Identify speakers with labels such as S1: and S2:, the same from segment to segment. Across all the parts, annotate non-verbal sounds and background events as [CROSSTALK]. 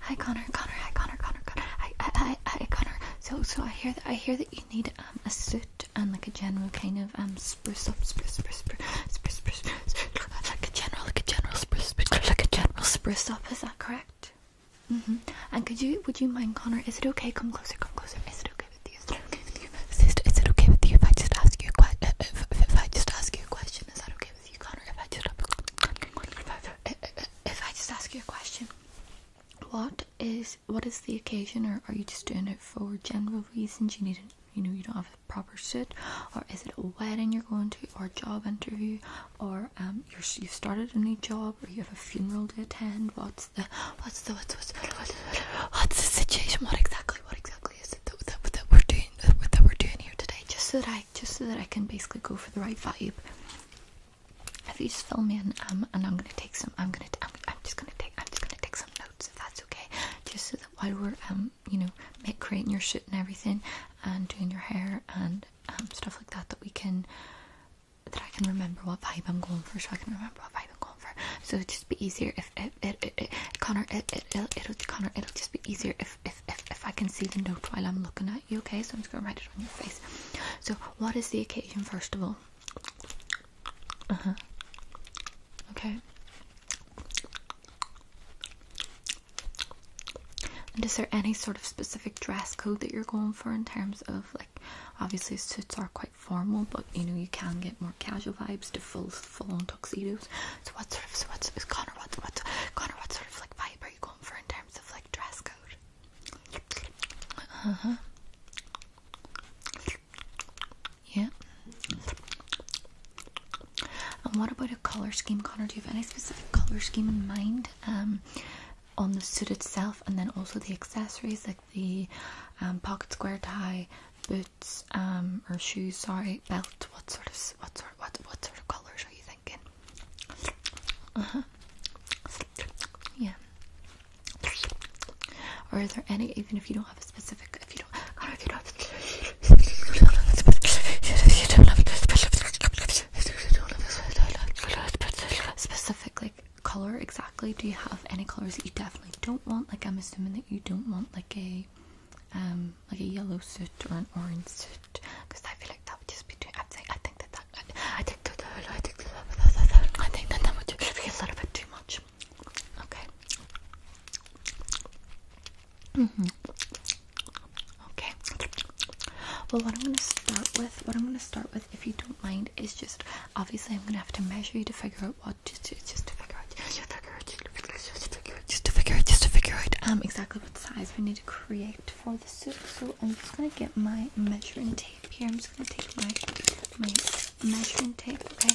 S1: Hi Connor, Connor, hi Connor, Connor, Connor. Hi, hi, hi, Connor. So, so I hear that I hear that you need um a suit and like a general kind of um spruce up, spruce, spruce, spruce, spruce, spruce, spruce like a general, like a general spruce, spruce, like a general spruce up. Is that correct? Mhm. Mm and could you, would you mind, Connor? Is it okay? Come closer, come closer. Is it okay with you? Is it okay with you? Is it, is it okay with you if I just ask you a question? If, uh, if, if I just ask you a question, is that okay with you, Connor? If I just if I, if, if I just ask you a question, what is what is the occasion, or are you just doing it for general reasons? You need, a, you know, you don't have a proper suit, or is it a wedding you're going to, or a job interview, or um, you have started a new job, or you have a funeral to attend? What's the what's the what's what's, what's, the situation? What exactly what exactly is it that, that, we're doing that, we're doing here today? Just so that just so that I can basically go for the right vibe if you just fill me in, um, and I'm gonna take some. I'm gonna. I'm, I'm just gonna take. I'm just gonna take some notes if that's okay. Just so that while we're um, you know, make, creating your shoot and everything, and doing your hair and um stuff like that, that we can, that I can remember what vibe I'm going for, so I can remember what vibe I'm going for. So it'd just be easier if it, it, it, it Connor, it, it, it'll, it'll, Connor, it'll just be easier if if, if, if, I can see the note while I'm looking at you, okay? So I'm just going to write it on your face. So, what is the occasion, first of all? Uh huh. Okay. And is there any sort of specific dress code that you're going for in terms of like obviously suits are quite formal but you know you can get more casual vibes to full full on tuxedos. So what sort of so what's Connor what what Connor what sort of like vibe in terms of like dress code? Uh huh. Yeah. And what about a color scheme, Connor? Do you have any specific color scheme in mind? Um, on the suit itself, and then also the accessories like the um, pocket square tie, boots, um, or shoes. Sorry, belt. What sort of what sort what what sort of colors are you thinking? Uh-huh. Yeah. Or is there any even if you don't have a specific if you don't God, if you don't have specific like color exactly do you have any colors that you definitely don't want like i'm assuming that you don't want like a um like a yellow suit or an orange suit because i feel like that would just be doing. I think I think that that I think that I think that I think that that would just be a little bit too much. Okay. Mm -hmm. Okay. Well, what I'm going to start with, what I'm going to start with, if you don't mind, is just obviously I'm going to have to measure you to figure out what to just figure out, just to figure out, just to figure out, just to figure out, just to figure out um exactly what size we need to create for the suit, So I'm just gonna get my measuring tape here. I'm just gonna take my my measuring tape, okay?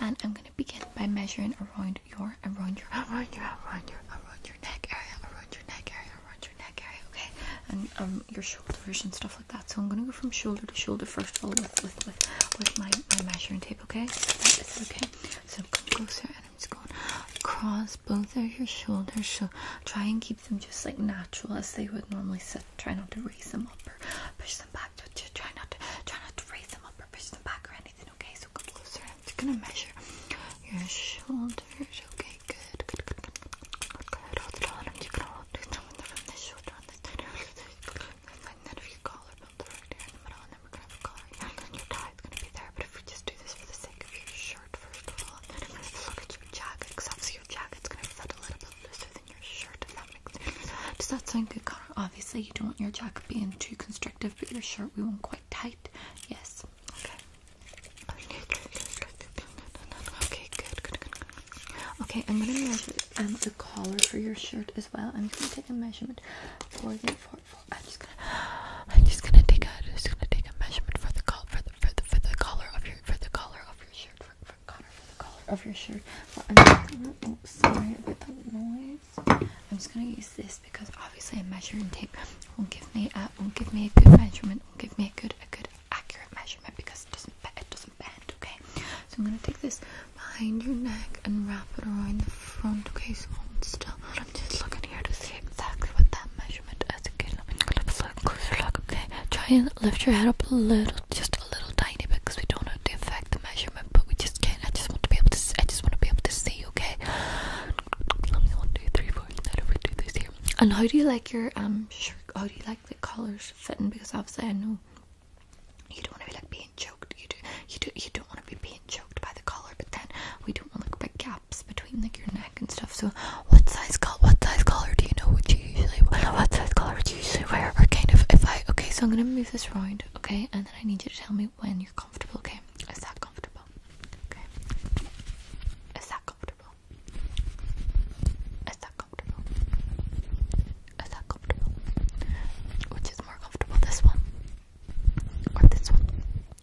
S1: And I'm gonna begin by measuring around your around your around your around your around your neck area, around your neck area, around your neck area, okay? And um your shoulders and stuff like that. So I'm gonna go from shoulder to shoulder first of all with with with, my, my measuring tape, okay? So okay. So I'm gonna go through and I'm just going across both of your shoulders. So try and keep them just like natural as they would normally sit. Try not to raise them up or push them back. Just try not to try not to raise them up or push them back or anything. Okay, so come closer. I'm just gonna measure your shoulders. Okay, good, good, good, good, good. good. Hold it on. I'm just gonna hold it on from this shoulder on this side. And then if your collarbone right there in the middle, and then we're gonna have a collar. And then your tie is gonna be there. But if we just do this for the sake of your shoulder first of all, look at your jacket, because your jacket's gonna fit a little bit looser than your shirt, Does that sound good, Connor? Obviously you don't want your jacket being too constrictive, but your shirt we want quite tight. Yes. Okay. Okay, Okay. good, good, good. Okay, I'm gonna measure um, the collar for your shirt as well. I'm gonna take a measurement for the I'm just gonna I'm just gonna take a just gonna take a measurement for the collar for for the for the color of your for the color of your shirt for, for Connor for the color of your shirt. oh, sorry about the noise. I'm just gonna use this because obviously a measuring tape won't give me a won't give me a good measurement. Won't give me a good a good accurate measurement because it doesn't it doesn't bend. Okay, so I'm gonna take this behind your neck and wrap it around the front. Okay, so I'm still. I'm just looking here to see exactly what that measure measurement as Let me look, look, look, look. Okay, try and lift your head up a little, just a little tiny bit, because we don't know the affect the measurement, but we just can't. I just want to be able to. See, I just want to be able to see. Okay. Let And how do you like your um shirt? How do you like the colors fitting? Because obviously I know you don't want to be like being choked. You do. You do. You don't want to be being choked by the collar. But then we do like big gaps between like your neck and stuff. So what size color? What size color do you know? Would you usually what size color do you usually wear? kind of if I okay, so I'm gonna move this around, okay, and then I need you to tell me when you're comfortable. Okay, is that comfortable? Okay, is that comfortable? Is that comfortable? Is that comfortable? Which is more comfortable, this one or this one?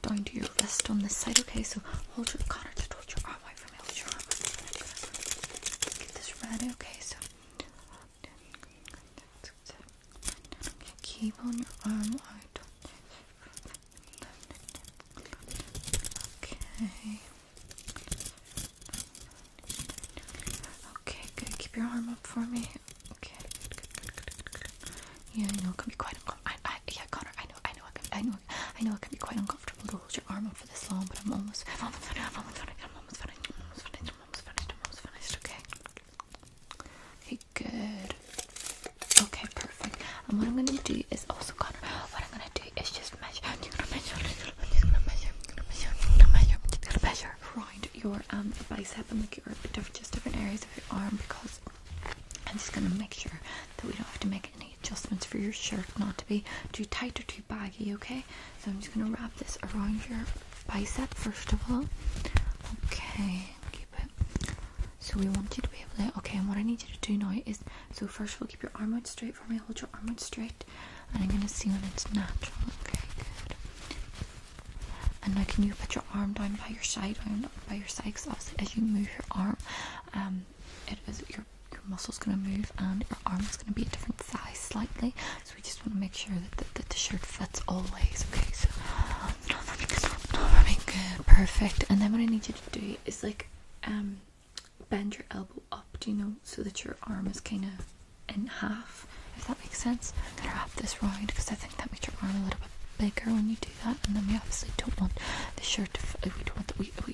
S1: down to your wrist on this side, okay? So hold your Connor, just hold your arm out for me, hold your arm out. Get this ready, okay? So keep on your arm out. Okay. Okay, good. Keep your arm up for me. Okay, good, good, good, good, good, good. Yeah, I know it can be quite uncomfortable. I, I, yeah, Connor, I I know, I know, I know, it can be quite uncomfortable to hold your arm up for this long, but I'm almost, I'm almost finished, I'm almost finished, I'm almost finished, I'm almost finished, I'm almost finished, okay? Okay, good. Okay, perfect. And what I'm gonna do is also, Connor, what I'm gonna do is just measure. I'm gonna measure. I'm gonna measure. I'm gonna measure. I'm gonna measure. I'm gonna measure around your um bicep and like your different, just different areas of your arm because I'm just gonna make sure that we don't have to make any adjustments for your shirt not to be too tight or too baggy, okay? So I'm just gonna wrap this around your bicep first of all. Okay, keep it. So we want you to be able to okay, and what I need you to do now is so first of all keep your arm out straight for me, hold your arm out straight, and I'm gonna see when it's natural, okay? Good. And now can you put your arm down by your side, down by your side, so as you move your arm, um, it is your your, your muscle's going to move and your arm's going to be a different size slightly. So we just want to make sure that the, shirt fits all ways. Okay, so good, perfect. And then what I need you to do is like um, bend your elbow up, do you know, so that your arm is kind of in half, if that makes sense. I'm gonna have this round because I think that makes your arm a little bit bigger when you do that. And then we obviously don't want the shirt to. We don't want the, we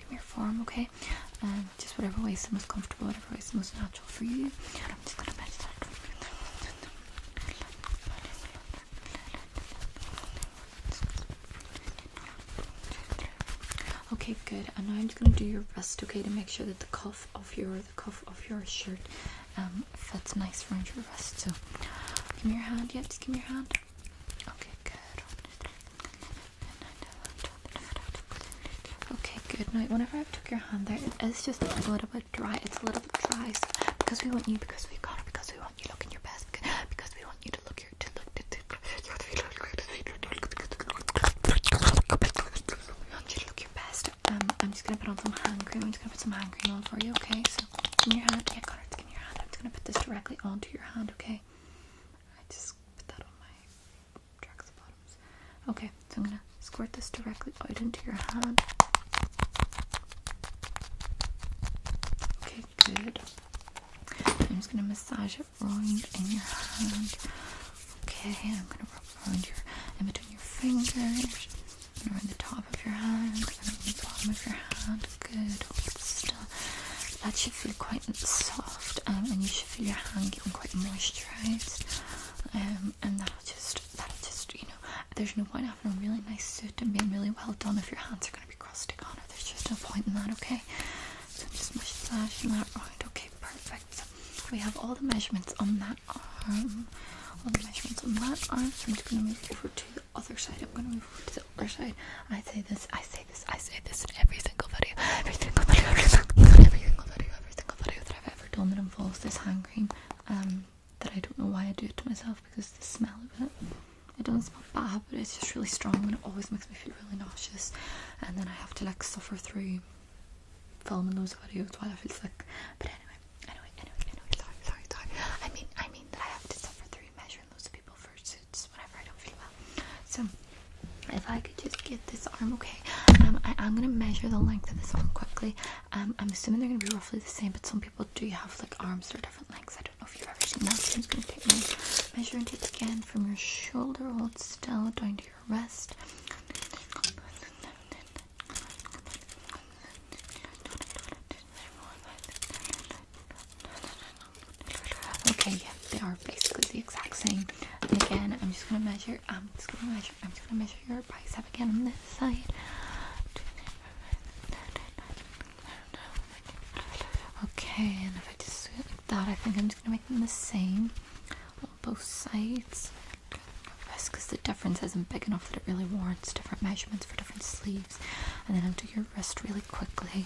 S1: farm, come okay? Um, just whatever way is the most comfortable, whatever way is the most natural for you. Okay, good. And now I'm just gonna do your rest. okay, to make sure that the cuff of your the cuff of your shirt um fits nice around your wrist. So, give me your hand. Yeah, just give me your hand. Okay, good. Okay, good. Now, whenever I took your hand there, it is just a little bit dry. It's a little bit dry because we want you, because we got because we want you looking your best, because we want you to look your to look to, to, we want you to look your best. Um, I'm just gonna put on some hand cream. I'm just gonna put some hand cream on for you. Okay, so in your hand, yeah, got it. In your hand, I'm just gonna put this directly onto your hand. Okay. I just put that on my tracks bottoms. Okay, so I'm gonna squirt this directly out into your hand. Okay, good. I'm just gonna massage it around in your hand. Okay, I'm gonna rub around your in between your fingers, and around the top of your hand, and around the bottom of your hand. Good that should feel quite soft um, and you should feel your hand getting quite moisturized um, and that'll just that'll just you know there's no point having a really nice suit and being really well done if your hands are going to be crusty on it there's just no point in that okay so I'm just massaging that around okay perfect so we have all the measurements on that arm all the measurements on that arm so I'm just going to move over to the other side I'm going to move over to the other side I say this I say. I say this in every single video, every single video, every single, every single video, every single video that I've ever done that involves this hand cream. Um, that I don't know why I do it to myself because the smell of it. It doesn't smell bad, but it's just really strong and it always makes me feel really nauseous. And then I have to like suffer through filming those videos while I feel sick. But anyway, anyway, anyway, anyway, sorry, sorry, sorry. I mean, I mean that I have to suffer through measuring those so, if I could just get this arm, okay? Um, I am gonna measure the length of this arm quickly. Um, I'm assuming they're gonna be roughly the same, but some people do have like arms that are different lengths. I don't know if you've ever seen that. So I'm just gonna take my measuring tape again from your shoulder, hold still, down to your wrist. Okay, yeah, they are basically the exact same. And again, I'm just gonna measure. I'm just gonna measure. I'm just gonna measure your bicep again on this side. Okay, and if I just do it like that, I think I'm just gonna make them the same on both sides. Because the difference isn't big enough that it really warrants different measurements for different sleeves. And then I'll do your wrist really quickly.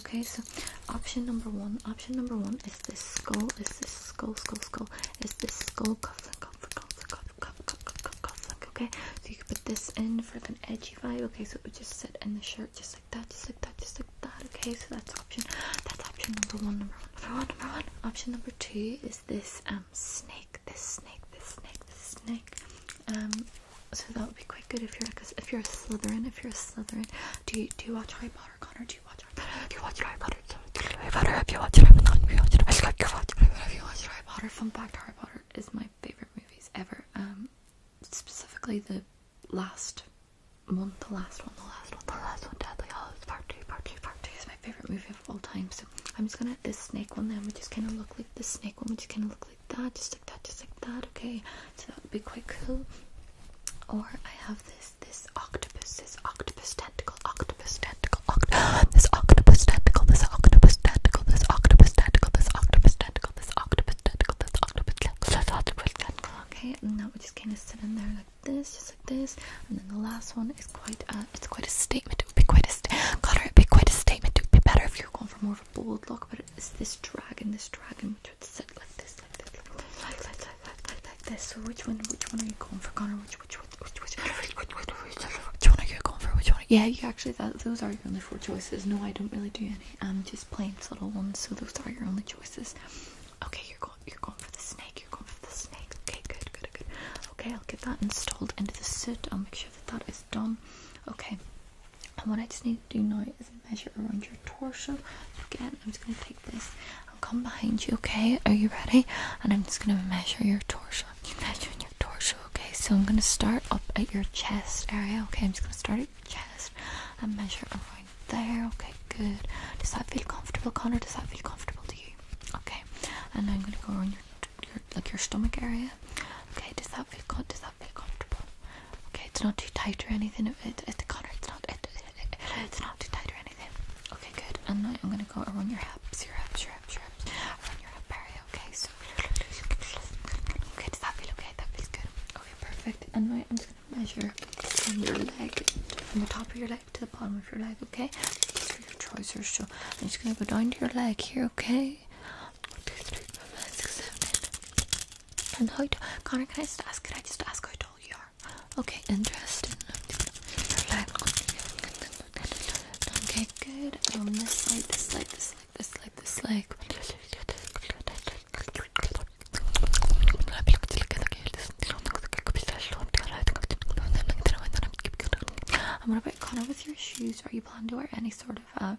S1: okay? So option number one, option number one is this skull, is this skull, skull, skull, is this skull cufflink, cufflink, cufflink, cufflink, cufflink, cufflink, okay? So you can put this in for like an edgy vibe, okay? So it would just sit in the shirt just like that, just like that, just like that, okay? So that's option, that's option number one, number one, number one, number one. Option number two is this um snake, this snake, this snake, this snake, um, so that would be quite good if you're like a, if you're a Slytherin. If you're a Slytherin, do you do you watch Harry Potter, Connor? Do you watch Harry Potter? Do you watch Harry Potter? Do you watch Harry Potter? If you watch Harry Potter, if you watch Harry Potter, fun fact: Harry Potter is my favorite movies ever. Um, specifically the last one, the last one, the last one, the last one, Deadly Hallows Part Two, Part Two, Part Two is my favorite movie of all time. So I'm just gonna this snake one. Then we just kind of look like the snake one. We just kind of look like like that, just like that, just like that. Okay, so that would be quite cool. Or I have this this octopus, this octopus tentacle, octopus tentacle, oct [GASPS] this octopus tentacle, this octopus tentacle, this octopus tentacle, this octopus tentacle, this octopus tentacle, this octopus tentacle, this octopus tentacle. Okay, and now we just kind of sit in there like this, just like this, and then the last one is quite uh, it's quite a statement. It would be quite a st God, it'd be quite a statement. It would be better if you're going for more of a bold look, but it's this dragon, this dragon which set like this, like this, like this, like, like, like, like, like, like this. So which one, which one are you going for, Connor? Which, which, which, which, which, which, which, which, which, which one are you going for? Which one? Yeah, you actually, that, those are your only four choices. No, I don't really do any. Um, just plain subtle ones. So those are your only choices. Okay, you're going, you're going for the snake. You're going for the snake. Okay, good, good, good. Okay, I'll get that installed into the suit. I'll make sure that that is done. Okay and what I just need to do now is measure around your torso. again, I'm just going to take this and come behind you, okay? Are you ready? And I'm just going to measure your torso. You measuring your torso, okay? So I'm going to start up at your chest area, okay? I'm just going to start at your chest and measure around there, okay? Good. Does that feel comfortable, Connor? Does that feel comfortable to you? Okay. And now I'm going to go around your, your like your stomach area. Okay. Does that feel good? Does that feel comfortable? Okay, it's not too tight or anything. It, it, Connor, it's not. it's not too tight or anything. Okay, good. And I'm gonna go around your hips, your hips, your hips, your hips, around your hip area. Okay, so. Okay, does that feel okay? That feels good. Okay, perfect. And I'm just gonna measure from your leg, from the top of your leg to the bottom of your leg. Okay, these are your trousers. So I'm just gonna go down to your leg here. Okay one, two, three, four, five, six, seven, eight. And how tall? Connor, can I just ask? Can I just ask how tall you are? Okay, interesting. Okay, good. On um, this side, this side, this side, this side, this side. And what about Connor with your shoes? Are you planning to wear any sort of um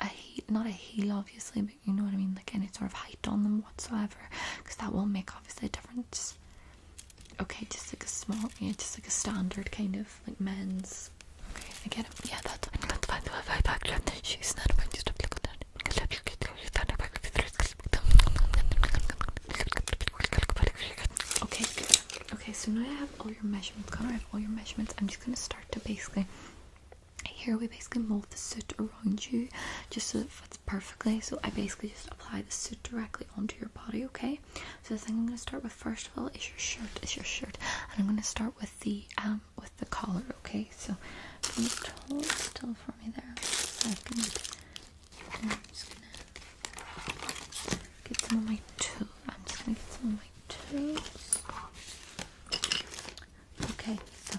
S1: a heel, not a heel obviously, but you know what I mean, like any sort of height on them whatsoever, because that will make obviously a difference. Okay, just like a small, yeah, just like a standard kind of like men's. Okay, I Yeah, that's. Okay, Okay, so now I have all your measurements. Connor, I all your measurements. I'm just gonna start to basically here we basically mold the suit around you just so it fits perfectly so I basically just apply the suit directly onto your body okay so the thing I'm going to start with first of all is your shirt is your shirt and I'm going to start with the um with the collar okay so just hold still for me there I am just gonna get some of my tools. I'm just gonna get some of my tools. Okay, so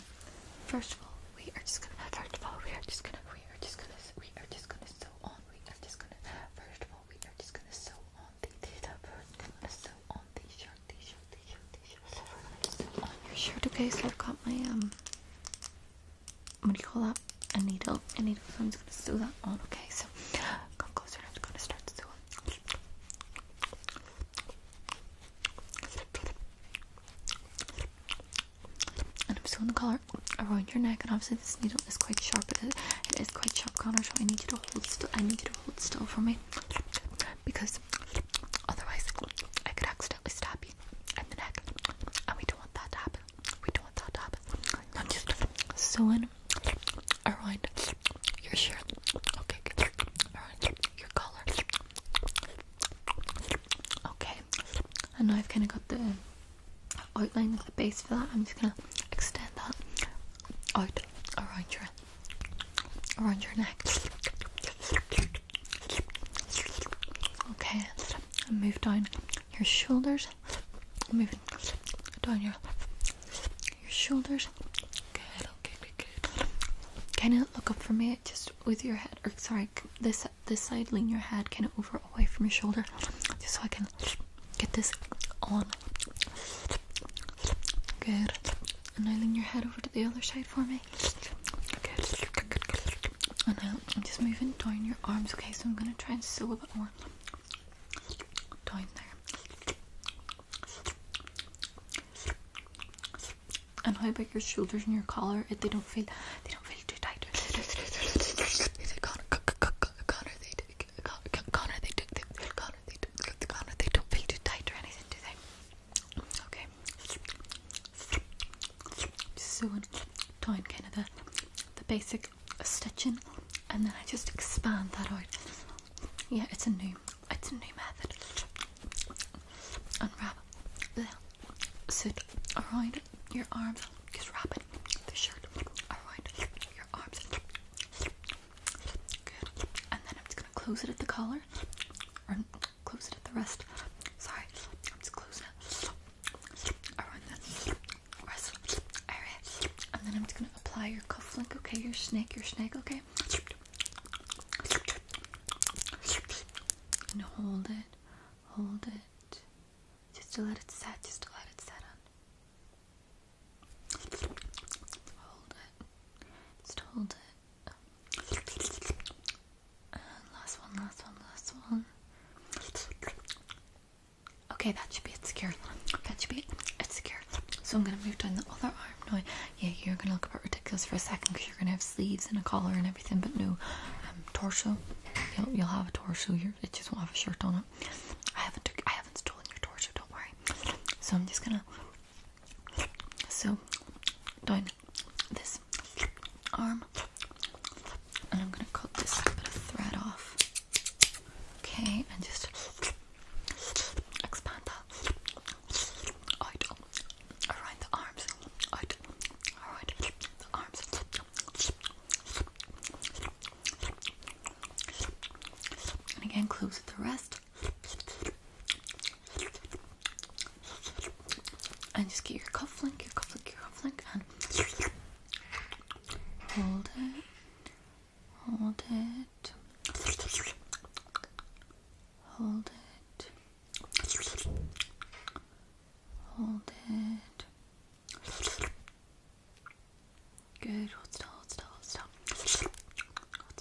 S1: first of all, we are just gonna first of all we are just gonna we are just gonna we are just gonna sew on we are just gonna first of all we are just gonna sew on the data first gonna sew on the shirt the shirt the shirt the shirt so we're gonna sew on your shirt okay so I've got my um what do you call that? A needle. A needle. So I'm just gonna sew that on. Okay, so come closer. I'm just gonna start sewing. And I'm still in the collar around your neck, and obviously this needle is quite sharp. it is quite sharp, Connor. So I need you to hold still. I need you to hold still for me, because otherwise I could accidentally stab you in the neck, and we don't want that to happen. We don't want that to happen. sewing around your shirt. Okay, good. around your color. Okay, and now I've kind of got the outline of the base for that. I'm just gonna extend that out around your around your neck. Okay, and move down your shoulders. Moving down your your shoulders. Good. Can you look up for me, just with your head, or sorry, this this side, lean your head kind of over away from your shoulder, just so I can get this on. Good. And now lean your head over to the other side for me. Good. And now I'm just moving down your arms, okay? So I'm gonna try and sew a bit more down there and how about your shoulders and your collar if they don't feel they don't feel too tight Connor, Connor, they do, Connor, they do, Connor, they do, Connor, they don't feel too tight or anything, do they? Okay. Just sewing down kind of the, the basic stitching and then I just expand that out. Yeah, it's a new it's a new method. Unwrap the around your arms. Just wrap it, the shirt around your arms. Good. And then I'm just gonna close it at the collar. Or close it at the wrist. Sorry, just closing it around the wrist area. And then I'm just gonna apply your cuff okay? Your snake, your snake, okay? And hold it, hold it, just to let it set, just to let it set on. Hold it, just hold it. last one, last one, last one. Okay, that should be it. Secure. That should be it. It's secure. So I'm gonna move down the other arm now yeah, you're gonna look a bit ridiculous for a second because you're gonna have sleeves and a collar and everything, but no, um, torso. You'll you'll have a torso. You it just won't have a shirt on I haven't I haven't stolen your torso. Don't worry. So I'm just gonna so doing this arm, and I'm gonna cut this bit of thread off. Okay, and just expand that out, around the arms, out, around the arms. And again, close with the rest. And just get your cufflink, your cufflink, your cufflink, and hold it, hold it, Hold it. Hold it. Good. Hold still, hold still, hold still. Hold still, hold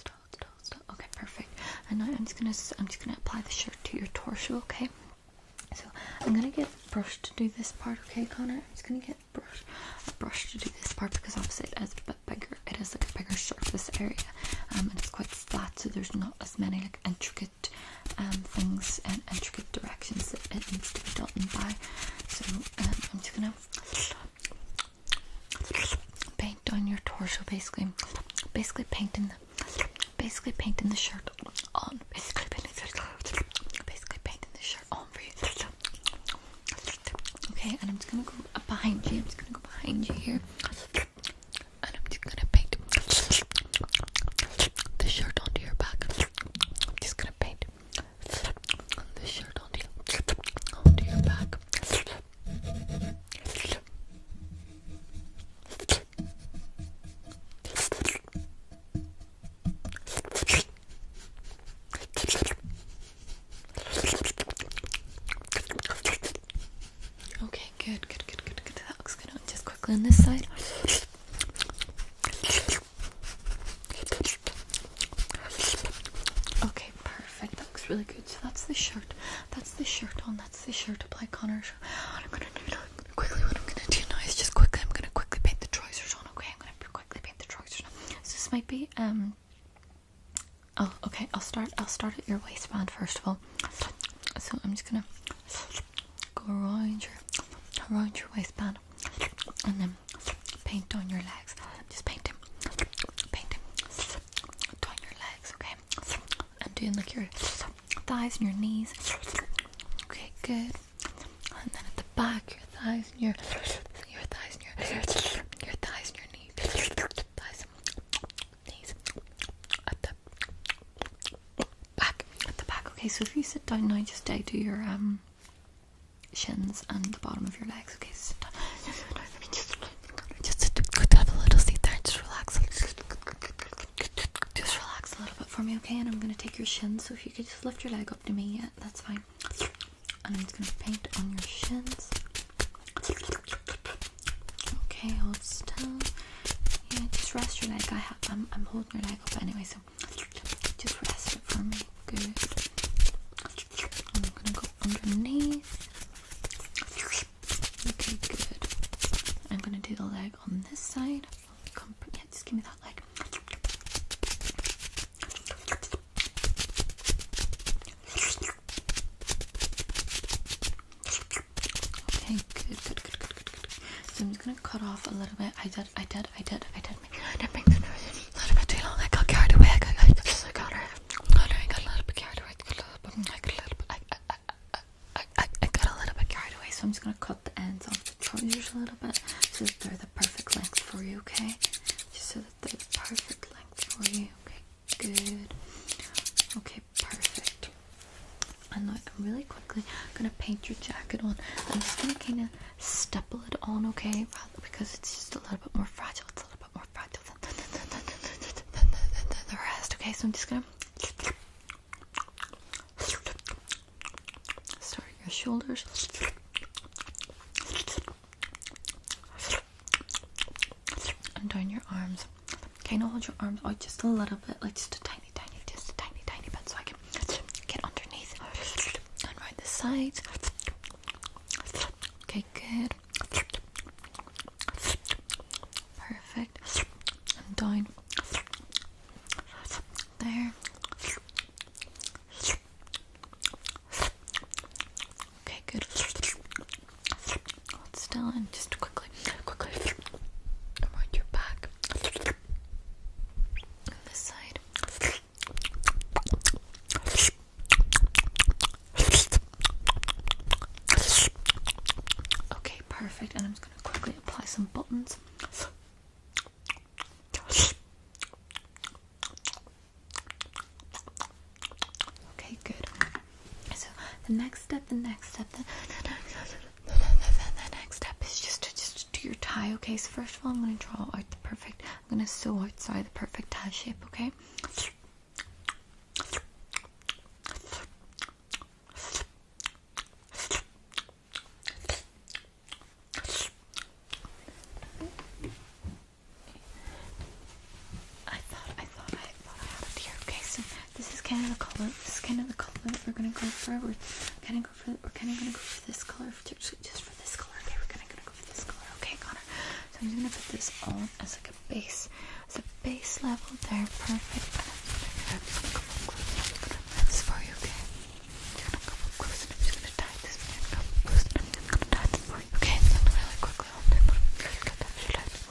S1: still, Okay, perfect. I'm just gonna I'm just gonna apply the shirt to your torso, okay? So I'm gonna get brush to do this part, okay, Connor? I'm just gonna get brush, a brush to do this part because opposite as. has bit bigger. It is like a bigger surface area, um, and it's quite flat, so there's not as many like intricate um, things and intricate directions that it needs to be done by. So um, I'm just gonna paint on your torso, basically, basically painting the, basically painting the shirt on, basically painting the basically painting the shirt on for you. Okay, and I'm just gonna go behind you. I'm just gonna go behind you here and I'm just gonna paint the shirt onto your back. I'm just gonna paint the shirt onto onto your back. Okay, good, good, good, good, good. That looks good. Just quickly on this side. Okay, perfect. That looks really good. So that's the shirt. That's the shirt on. That's the shirt. Apply Connor. What I'm gonna do now, quickly. What I'm gonna do now is just quickly. I'm gonna quickly paint the trousers on. Okay, I'm gonna quickly paint the trousers on. So this might be um Oh, okay. I'll start. I'll start at your waistband first of all. So I'm just gonna go around your around your waistband, and then paint on your legs. Just paint him, paint him down your legs, okay? And doing like your thighs and your knees. Okay, good. And then at the back, your thighs and your your thighs and your your thighs and your knees. Thighs, knees, at the back, at the back. Okay, so if you sit down now, just do your um shins and the bottom of your legs. Okay, sit down. just, have a little seat there. Just relax. Just relax a little bit for me, okay? And I'm gonna take your shins. So if you could just lift your leg up to me, yeah, that's fine. And I'm just gonna paint on your shins. Okay, hold still. Yeah, just rest your leg. I am I'm holding your leg up anyway, so just rest it for me. Good. I'm gonna go underneath. Okay, good. I'm gonna do the leg on this side. yeah, just give me that leg. Okay, good, good, good, good, good, good. So I'm just gonna cut off a little bit. I did, I did, I did, I did make, I did make the nose a little bit too long. I got carried away. I got, I got, I got, I got a little bit carried away. I got a little bit, I got a little bit, I, I, I, I, I got a little bit carried away. So I'm just gonna cut the ends off the trousers a little bit so that they're the perfect length for you. Okay, just so that they're the perfect length for you. Okay, Good. Okay, perfect. And look, I'm gonna paint your jacket on. I'm just gonna kind of stipple it on, okay? because it's just a little bit more fragile. It's a little bit more fragile than, than the rest, okay? So I'm just gonna start your shoulders and down your arms. Kind of hold your arms out just a little bit, like just a tiny, tiny, just a tiny, tiny bit, so I can get underneath and right the sides. Okay, good. Perfect. And down there. Okay, good. Hold still and just quickly, quickly around your back. this side. Okay, perfect. And I'm just gonna quickly apply some buttons. Okay, good. So the next step, the next step, then, the, next, the, the, next step is just to just do your tie. Okay, so first of all, I'm gonna draw out the perfect. I'm gonna sew outside the perfect tie shape. Okay. I thought I thought I thought I had it here. Okay, so this is kind of the color. This is kind of the color we're gonna go for. We're kind of go for. We're kind of gonna go for this color, just for this color. Okay, we're gonna, go for this color. Okay, Connor. So I'm just gonna put this on as like a base, as a base level. There, perfect. for you. Okay.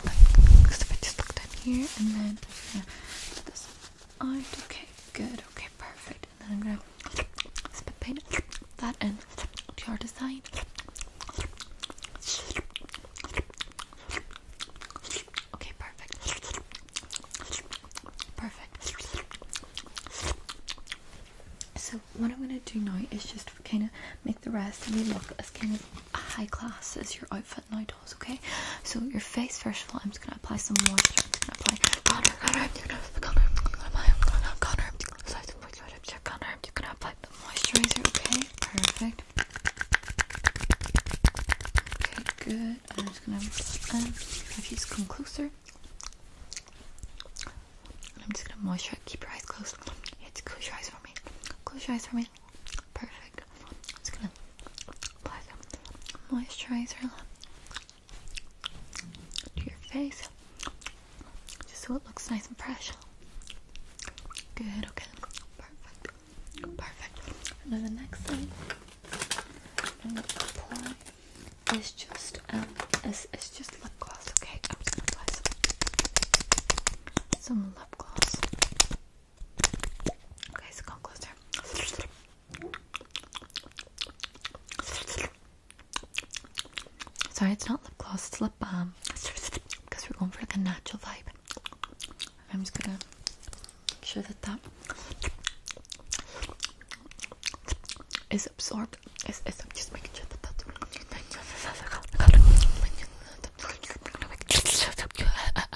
S1: Because if I just look down here and then this on. Okay, good. Okay, perfect. And then I'm gonna spit paint that and your design. Okay, perfect. Perfect. So what I'm gonna do now is just kind of make the rest of you look as kind of high class as your outfit okay? So your face, first of all, I'm just gonna apply some moisturizer, okay? Perfect. Okay, good. I'm just gonna if you just come closer. I'm just gonna moisturize. Keep your eyes closed. Yeah, close your eyes for me. Close your eyes for me perfect. just gonna apply some moisturizer to your face just so it looks nice and fresh. Good, okay, perfect, perfect. And then the next thing I'm gonna apply is just um is, is just lip gloss, okay? I'm just gonna apply some, some lip gloss. Okay, so come closer. Sorry, it's not lip gloss, it's lip balm. Because we're going for like a natural vibe. I'm just gonna make sure that that is absorbed. Is, I'm just making sure that that's.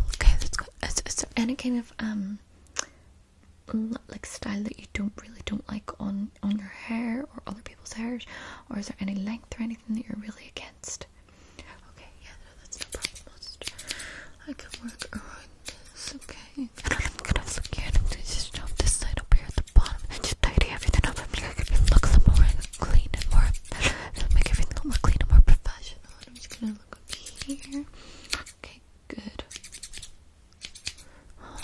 S1: Okay, so any kind of um like style that you don't really don't like on on your hair or other people's hair, or is there any length or anything that you're really against? Okay, yeah, that's no problem. i I can work around this. Okay, I'm gonna look here. just drop this side up here at the bottom and tidy everything up. i look the more clean and more, make everything look clean and more professional. I'm just gonna look up here. Okay, good.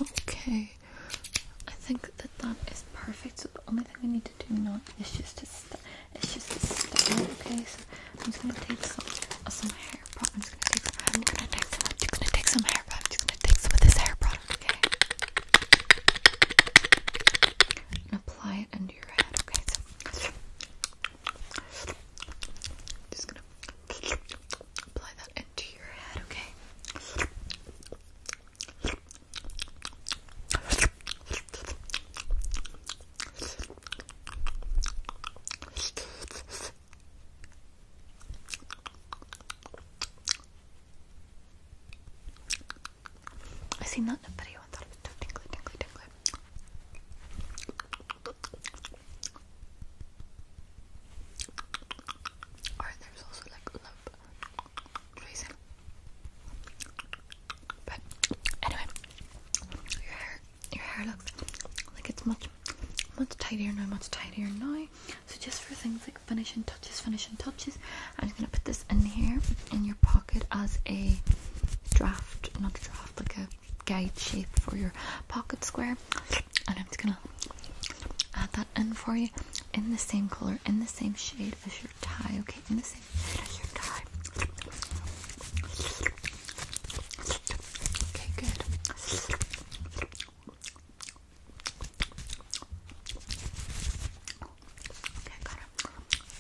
S1: Okay, I think that that is perfect. So the only thing we need to do now is just to it's just to style. Okay, so I'm just gonna take some uh, some hair product. I'm just gonna take some. I'm gonna take gonna take some hair product. I'm just gonna take some of this hair product. Okay, and apply it under your head, okay? just gonna apply that into your head, okay? I seen that in a video and thought it was so tingly, tingly, tingly. Alright, there's also like love tracing. But anyway, your hair your hair looks like it's much much tidier now, much tidier now. So just for things like finishing touches, finishing touches. I'm just gonna put this in here in your pocket as a draft, not draft, like a guide shape for your pocket square. And I'm just gonna add that in for you in the same color, in the same shade as your tie, okay? In the same shade as your tie. Okay, good. Okay, I got it.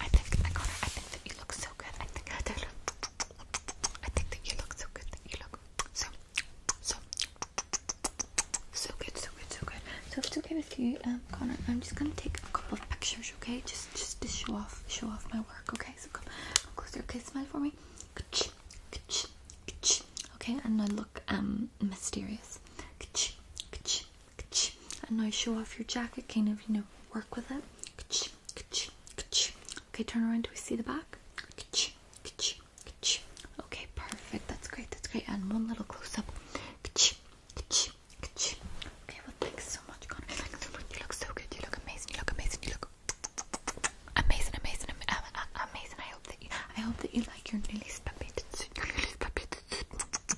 S1: I think I got it. I think that you look so good. I think I [LAUGHS] did. I think that you look so good. That you look so so so good, so good, so good. So if it's okay with you, um, Connor, I'm just gonna take a couple of pictures, okay? Just just to show off show off my work, okay? So come come closer, okay, smile for me. Okay, and now look um mysterious and now show off your jacket, kind of, you know, work with it. Okay, turn around. Do we see the back? Okay, perfect. That's great. That's great. And one little close up. Okay, well, thanks so much, Connor. Thanks so much. You look so good. You look amazing. You look amazing. You look amazing, amazing, amazing. I hope that you, I hope that you like your newly speppated Your newly speppated